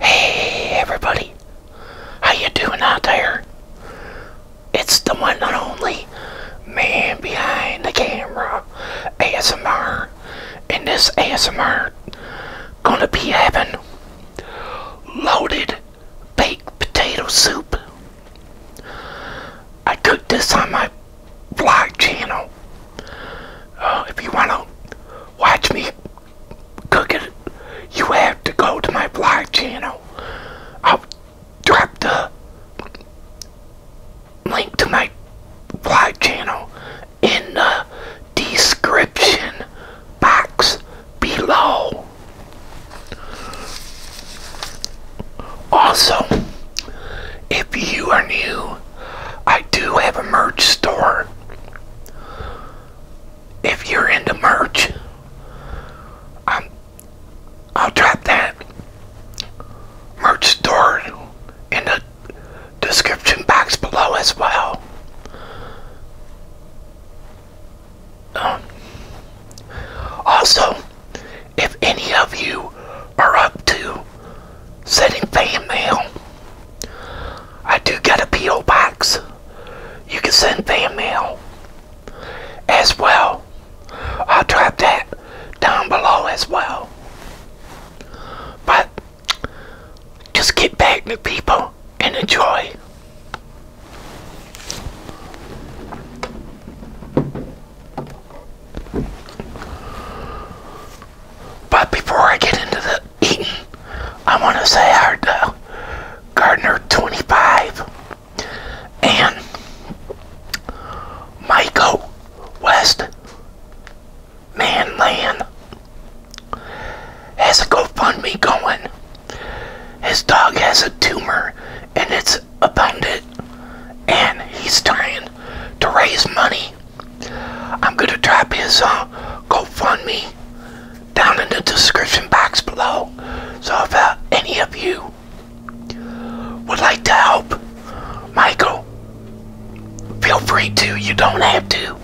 Hey everybody, how you doing out there? It's the one and only man behind the camera, ASMR, and this ASMR gonna be having loaded baked potato soup. I cooked this on my vlog channel Oh, if you want to watch me cook it, you have to go to my vlog channel. I'll drop the link to my vlog channel in the description box below. Also, if you are new I do have a merch store. If you're into merch, um, I'll drop that merch store in the description box below as well. Um, also, if any of you are up to sending fan mail, I do got a P.O. box. You can send fan mail as well. I'll drop that down below as well. But just get back to people and enjoy. But before I get into the eating, I want to say our uh, Gardner 25 and Michael West man, Manland has a GoFundMe going. His dog has a tumor and it's abundant and he's trying to raise money I'm going to drop his uh, GoFundMe down in the description box below. So if uh, any of you would like to help Michael, feel free to. You don't have to.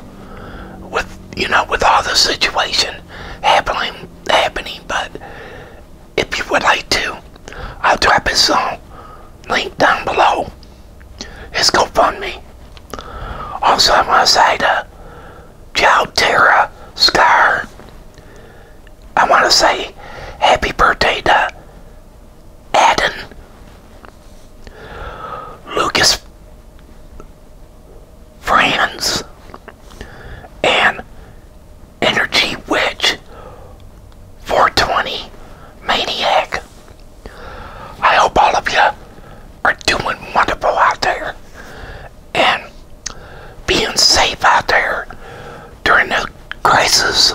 With you know, with all the situation happening, happening. But if you would like to, I'll drop his song uh, link down below his GoFundMe. Also, I want to say to Joe Tara Scar, I want to say happy birthday to Adden, Lucas Franz and Energy Witch 420 Maniac. I hope all of you are doing wonderful out there and being safe out there during the crisis.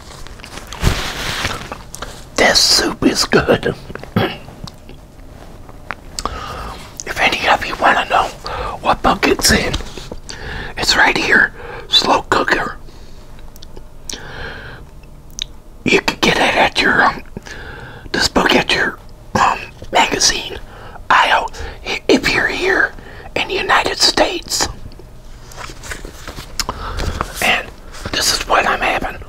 This soup is good. if any of you want to know what bucket's in, it's right here. Slow cooker. You can get it at your um, this book at your um, magazine aisle if you're here in the United States. And this is what I'm having.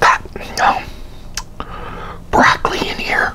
Got um, broccoli in here.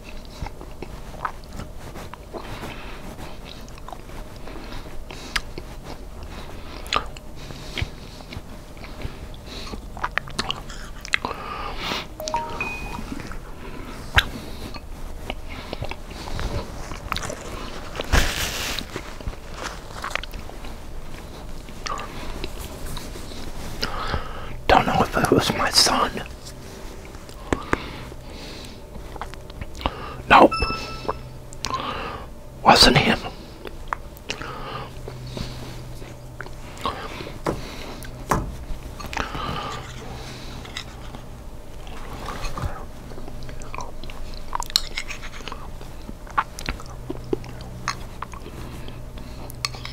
Don't know if it was my son Nope. Wasn't him.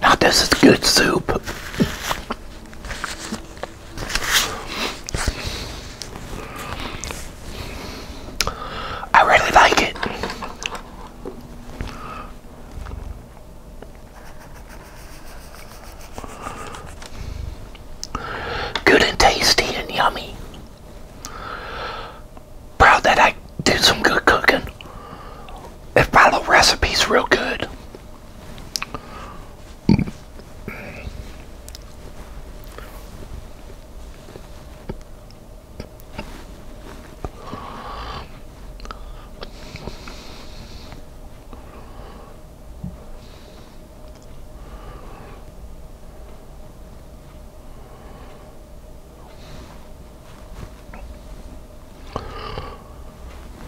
Now this is good soup. I really like it. Good and tasty and yummy. Proud that I do some good cooking and follow recipes real good.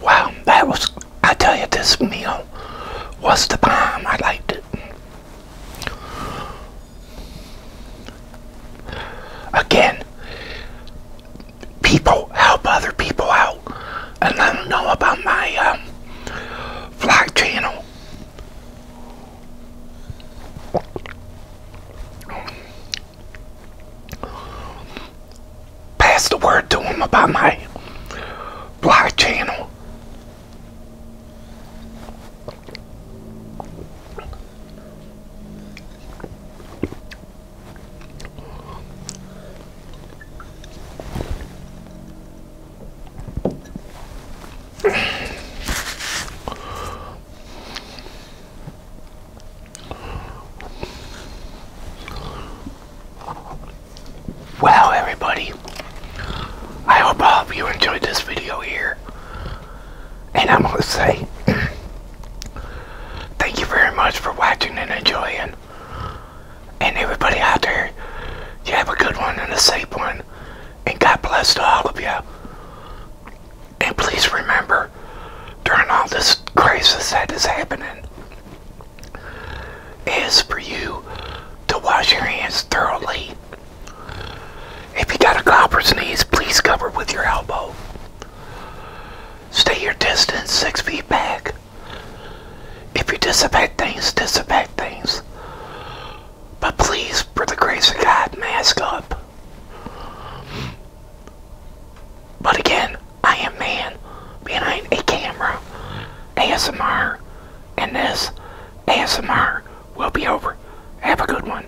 Wow, that was, I tell you, this meal was the bomb. I liked it. Again, people, help other people out, and I don't know about my um, vlog channel. Pass the word to them about my vlog channel. Well, everybody, I hope you enjoyed this video here. And I'm going to say Thank you very much for watching and enjoying. And everybody out there, you have a good one and a safe one. And God bless to all of you. And please remember, during all this crisis that is happening, is for you to wash your hands thoroughly. If you got a cough knees, please cover with your elbow. Stay your distance, six feet back. If you disinfect things, disinfect things. But please, for the grace of God, mask up. But again, I am man behind a camera, ASMR, and this ASMR will be over. Have a good one.